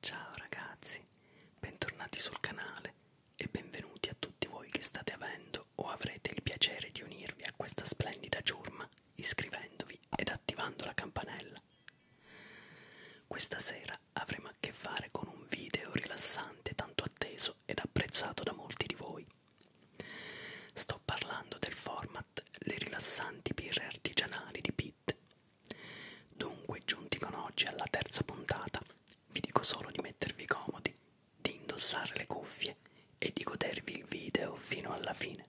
Ciao ragazzi, bentornati sul canale e benvenuti a tutti voi che state avendo o avrete il piacere di unirvi a questa splendida giorma iscrivendovi ed attivando la campanella. Questa sera avremo a che fare con un video rilassante tanto atteso ed apprezzato da molti di voi. Sto parlando del format Le rilassanti birre artigianali di Pitt Dunque, giunti con oggi alla terza puntata, vi dico solo di mettervi comodi, di indossare le cuffie e di godervi il video fino alla fine.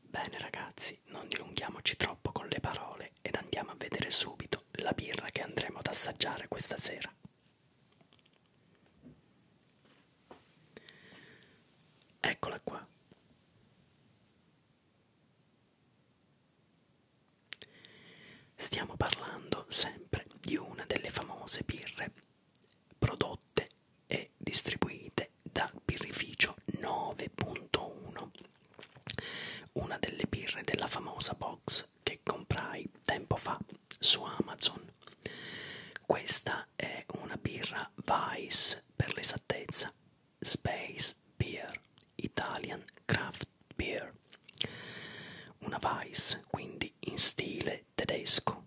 Bene ragazzi, non dilunghiamoci troppo con le parole ore ed andiamo a vedere subito la birra che andremo ad assaggiare questa sera. Eccola qua. Stiamo parlando sempre di una delle famose birre prodotte e distribuite dal birrificio 9.1 una delle birre della famosa box che comprai tempo fa su Amazon. Questa è una birra Vice per l'esattezza, Space Beer, Italian Craft Beer. Una Vice, quindi in stile tedesco.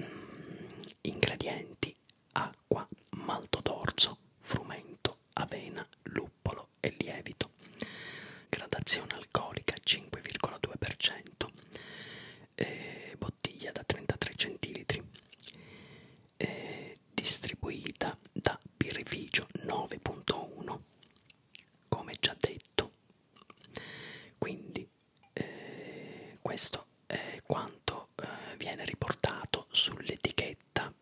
Mm, ingredienti: acqua, malto d'orzo, frumento, avena, luppolo, burro e lievito. Gradazione alcolica 5,2%, eh, bottiglia da 33 centilitri, eh, distribuita da Birrificio 9.1, come già detto. Quindi eh, questo è quanto eh, viene riportato sull'etichetta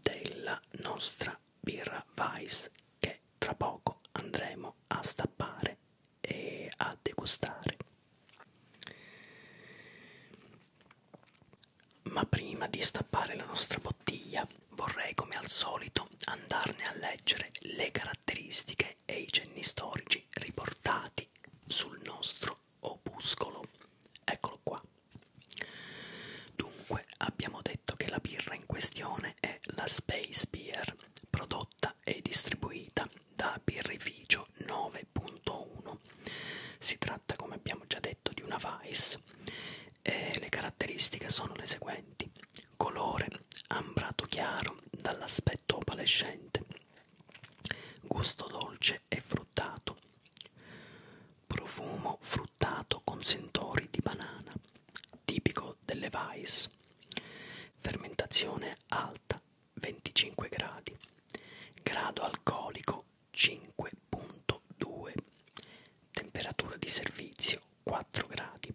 della nostra birra Weiss che tra poco andremo a stappare e a degustare. Ma prima di stappare la nostra bottiglia vorrei come al solito andarne a leggere le caratteristiche e i cenni storici riportati sul nostro opuscolo. Eccolo qua. Dunque abbiamo detto che la birra in questione è la Space Beer, prodotta e distribuita da Birrificio 9.1. Si tratta, come abbiamo già detto, di una Weiss e le caratteristiche sono le seguenti. Colore ambrato chiaro dall'aspetto opalescente, gusto dolce e fruttato, profumo frutto fruttato con sentori di banana, tipico delle Weiss. Fermentazione alta 25 gradi, grado alcolico 5.2, temperatura di servizio 4 gradi.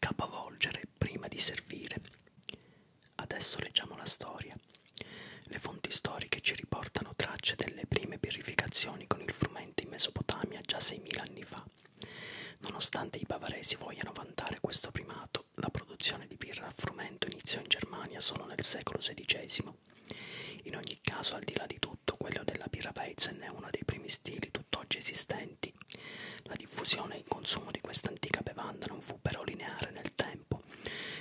Capovolgere prima di servire. Adesso leggiamo la storia. Le fonti storiche ci riportano sono tracce delle prime purificazioni con il frumento in Mesopotamia già 6.000 anni fa. Nonostante i bavaresi vogliano vantare questo primato, la produzione di birra a frumento iniziò in Germania solo nel secolo XVI. In ogni caso, al di là di tutto, quello della birra Weizen è uno dei primi stili tutt'oggi esistenti. La diffusione e il consumo di questa antica bevanda non fu però lineare nel tempo.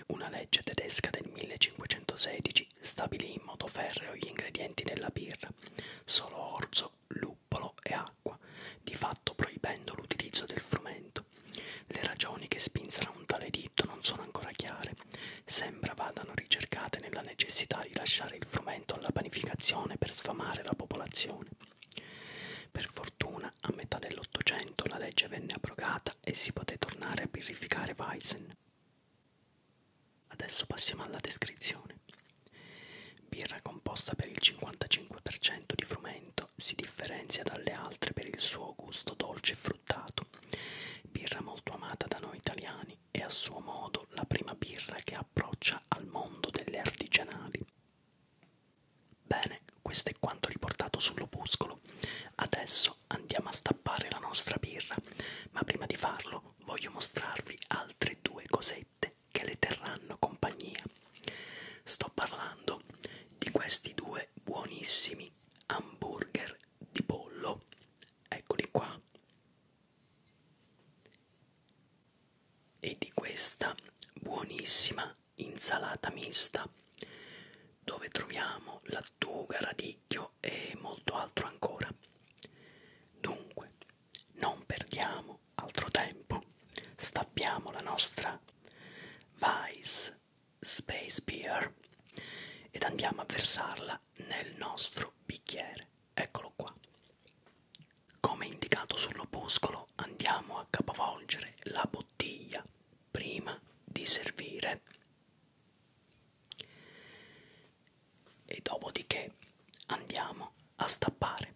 Una legge tedesca del 1516 stabilì in modo ferreo gli ingredienti della birra, solo orzo, luppolo e acqua, di fatto proibendo l'utilizzo del frumento. Le ragioni che spinsero un tale editto non sono ancora chiare, sembra vadano ricercate nella necessità di lasciare il frumento alla panificazione per sfamare la popolazione. Per fortuna, a metà dell'Ottocento la legge venne abrogata e si poté tornare a birrificare Weizen. Adesso passiamo alla descrizione. Birra composta per il 55% di frumento, si differenzia dalle altre per il suo gusto dolce e fruttato. Birra molto amata da noi italiani e a suo modo la prima birra che approccia al mondo delle artigianali. Bene, questo è quanto riportato sull'opuscolo. Adesso andiamo a stappare la nostra birra, ma prima di farlo voglio mostrarvi altre due cosette che le terranno compagnia. Sto parlando di questi due buonissimi hamburger di pollo. Eccoli qua. E di questa buonissima insalata mista dove troviamo lattuga, radicchio video e molto altro ancora. Dunque, non perdiamo altro tempo, stappiamo la nostra Vice Space Beer ed andiamo a versarla nel nostro bicchiere. Eccolo qua. Come indicato sull'opuscolo, andiamo a capovolgere la bottiglia prima di servire e dopodiché andiamo a stappare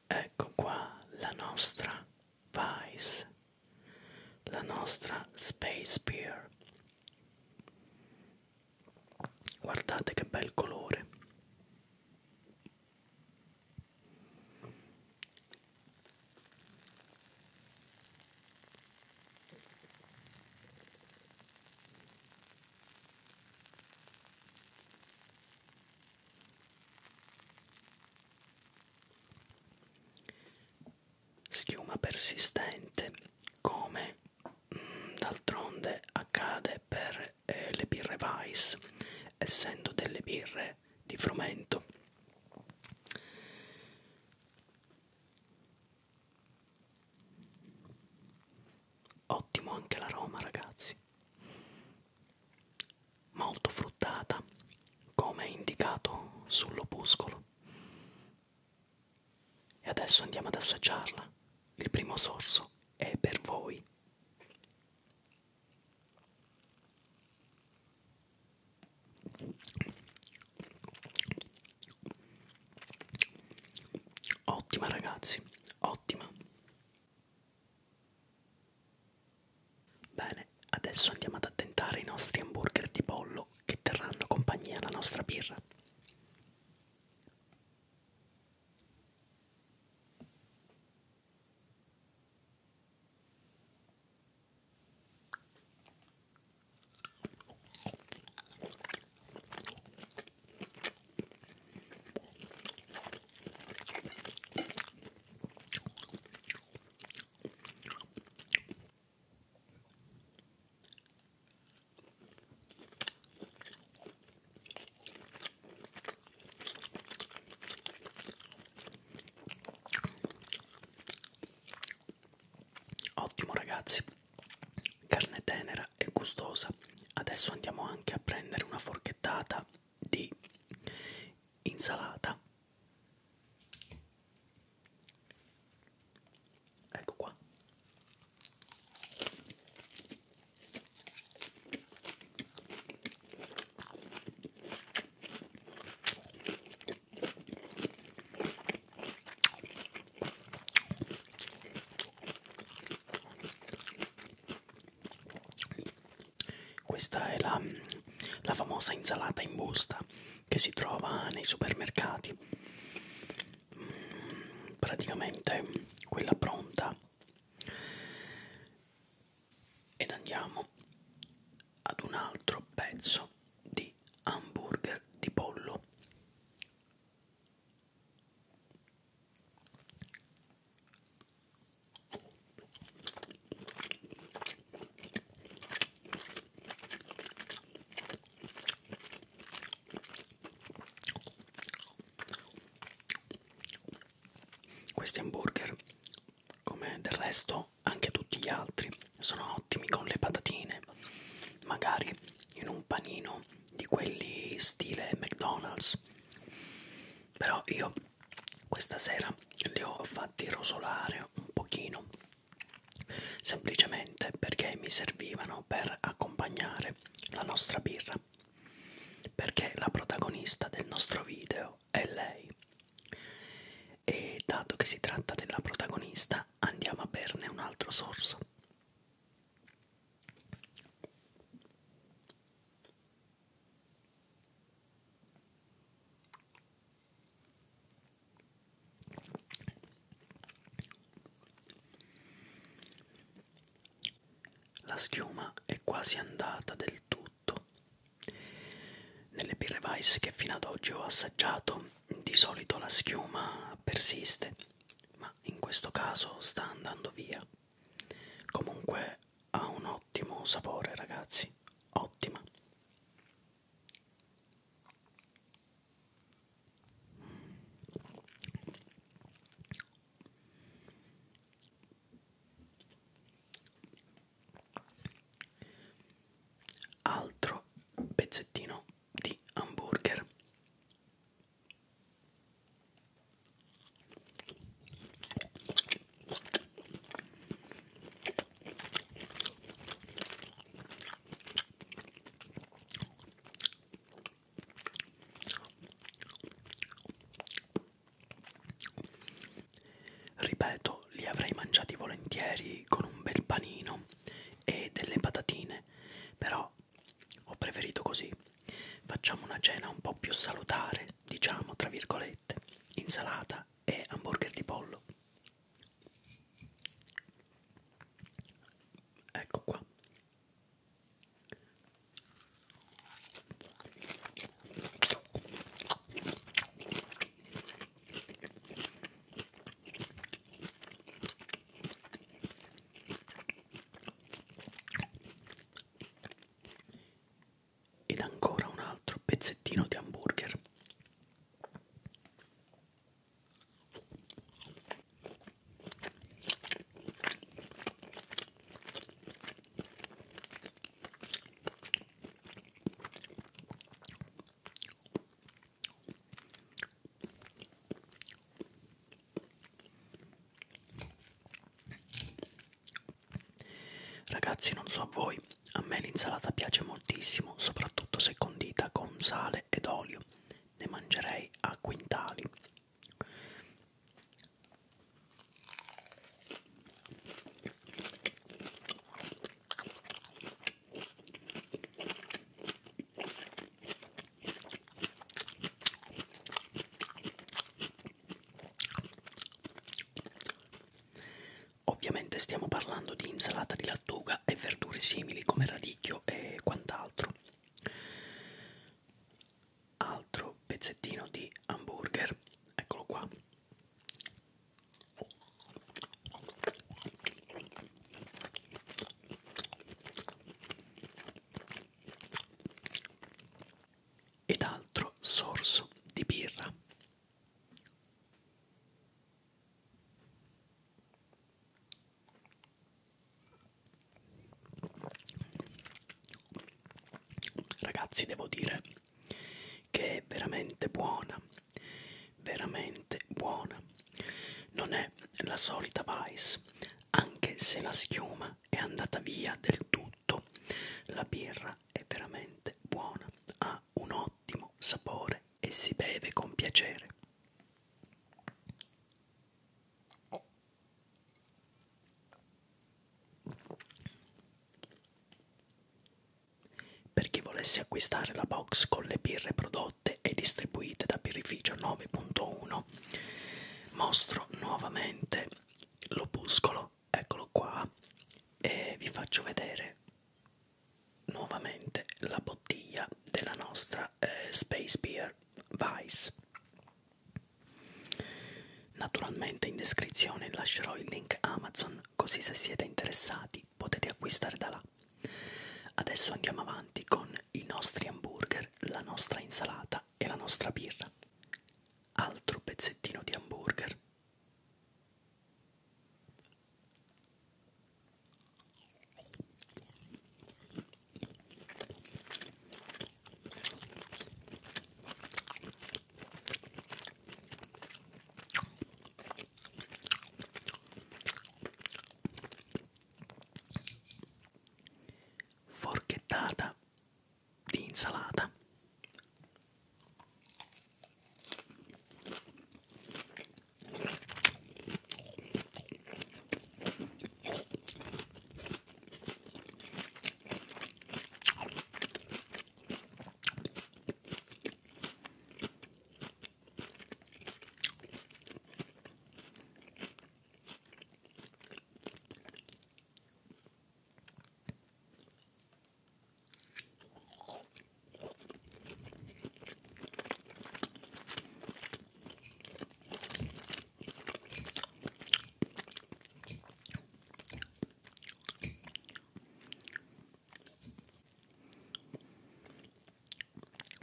Ecco qua la nostra Vice, la nostra Space Pier. Guardate che bel colore. Schiuma persistente come mm, d'altronde accade per eh, le birre Weiss, essendo delle birre di frumento. Ottimo anche l'aroma, ragazzi molto fruttata come indicato sull'opuscolo e adesso andiamo ad assaggiarla il primo sorso è per voi ottima ragazzi ottima Bene, adesso andiamo ad attentare i nostri hamburger di pollo che terranno compagnia alla nostra birra. Ottimo ragazzi, carne tenera e gustosa. Adesso andiamo anche a prendere una forchettata di insalata ecco qua questa è la, la famosa insalata in busta che si trova nei supermercati. Mm, praticamente quella pronta. Ed andiamo ad un altro pezzo di hamburger di pollo. Questi hamburger, come del resto anche tutti gli altri, sono ottimi con le patatine, magari in un panino di quelli stile McDonald's. Però io questa sera li ho fatti rosolare un pochino semplicemente perché mi servivano per accompagnare la nostra birra perché la protagonista del nostro video è lei e dato che si tratta della protagonista andiamo a berne un altro sorso la schiuma è quasi andata del tutto. Nelle birre Weiss che fino ad oggi ho assaggiato, di solito la schiuma persiste, ma in questo caso sta andando via. Comunque ha un ottimo sapore ragazzi, ottima. Altro pezzettino di hamburger Ripeto, li avrei mangiati volentieri con un bel panino e delle patatine, però ho preferito così. Facciamo una cena un po' più salutare, diciamo tra virgolette, insalata e hamburger di pollo. Ecco qua ed ancora un altro pezzettino di hamburger. Ragazzi, non so a voi, a me l'insalata piace moltissimo, soprattutto se condita con sale ed olio. Ne mangerei a quintali. Ovviamente stiamo parlando di insalata di lattuga e verdure simili come radicchio e quant'altro. Altro pezzettino di hamburger, eccolo qua ed altro sorso di birra. Ragazzi, devo dire che è veramente buona, veramente buona. Non è la solita Vice, anche se la schiuma è andata via del tutto tutto. La birra è veramente buona, ha un ottimo sapore e si beve con piacere. Per chi volesse acquistare la box con le birre prodotte e distribuite da Birrificio 9.1, mostro nuovamente l'opuscolo, eccolo qua, e vi faccio vedere nuovamente la bottiglia della nostra eh, Space Beer Vice. Naturalmente in descrizione lascerò il link Amazon, così se siete interessati potete acquistare da là. Adesso andiamo avanti con i nostri hamburger, la nostra insalata e la nostra birra altro pezzettino di hamburger. Forchettata di insalata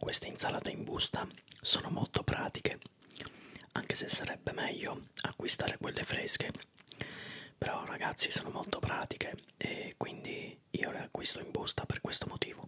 queste insalate in busta sono molto pratiche anche se sarebbe meglio acquistare quelle fresche però ragazzi sono molto pratiche e quindi io le acquisto in busta per questo motivo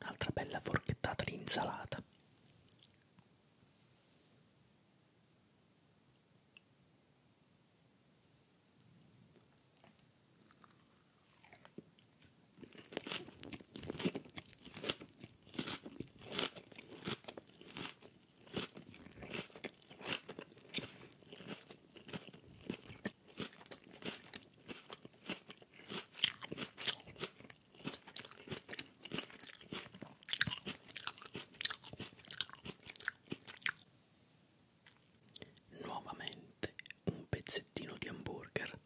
Un'altra bella forchettata di insalata. Nuovamente un pezzettino di hamburger.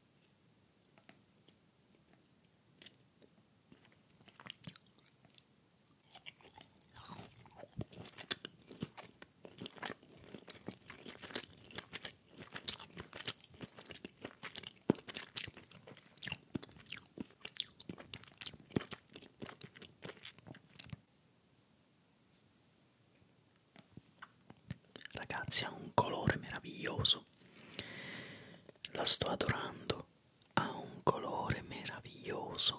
Ragazzi ha un colore meraviglioso la sto adorando, ha un colore meraviglioso.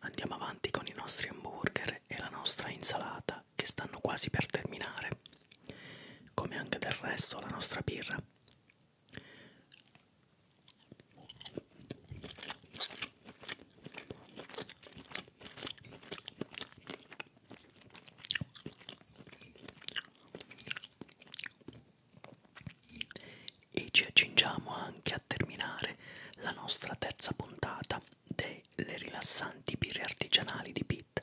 Andiamo avanti con i nostri hamburger e la nostra insalata che stanno quasi per terminare, come anche del resto la nostra birra. E ci accingiamo anche a terminare la nostra terza puntata delle rilassanti birre artigianali di Pitt.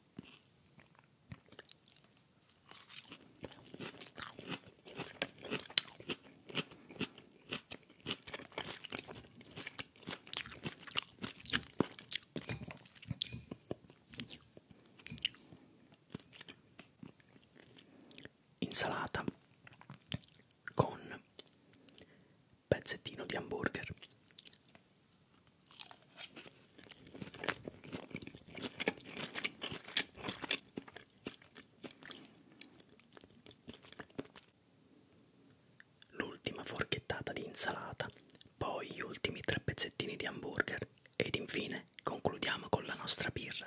Insalata con pezzettino di hamburger L'ultima forchettata di insalata, poi gli ultimi tre pezzettini di hamburger ed infine concludiamo con la nostra birra.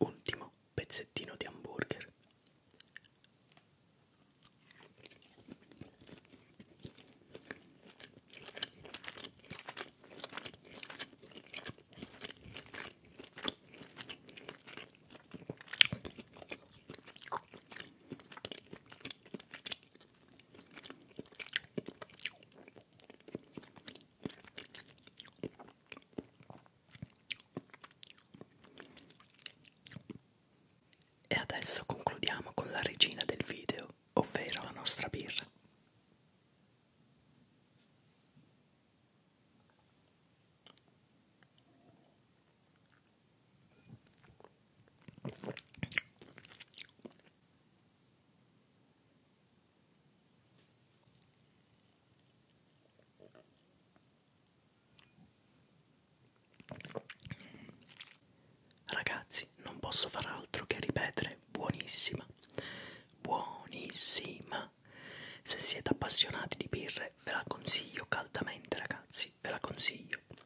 Ultimo pezzettino di hamburger. E adesso concludiamo con la regina del video, ovvero la nostra birra. Ragazzi, non posso far altro che ripetere buonissima, buonissima. Se siete appassionati di birre, ve la consiglio caldamente, ragazzi, ve la consiglio.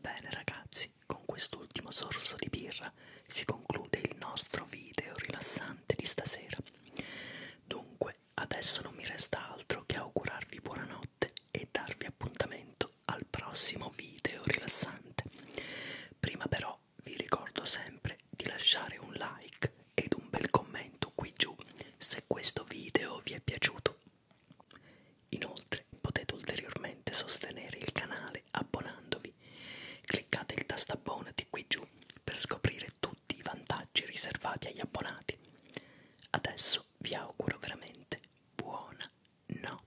Bene ragazzi, con quest'ultimo sorso di birra si conclude il nostro video rilassante di stasera. Dunque, adesso non mi resta altro che augurarvi buonanotte e darvi appuntamento al prossimo video rilassante. Prima però però vi ricordo sempre di lasciare un like ed un bel commento qui giù se questo video vi è piaciuto. Inoltre potete ulteriormente sostenere il canale abbonandovi. Cliccate il tasto abbonati qui giù per scoprire tutti i vantaggi riservati agli abbonati. Adesso vi auguro veramente buona notte.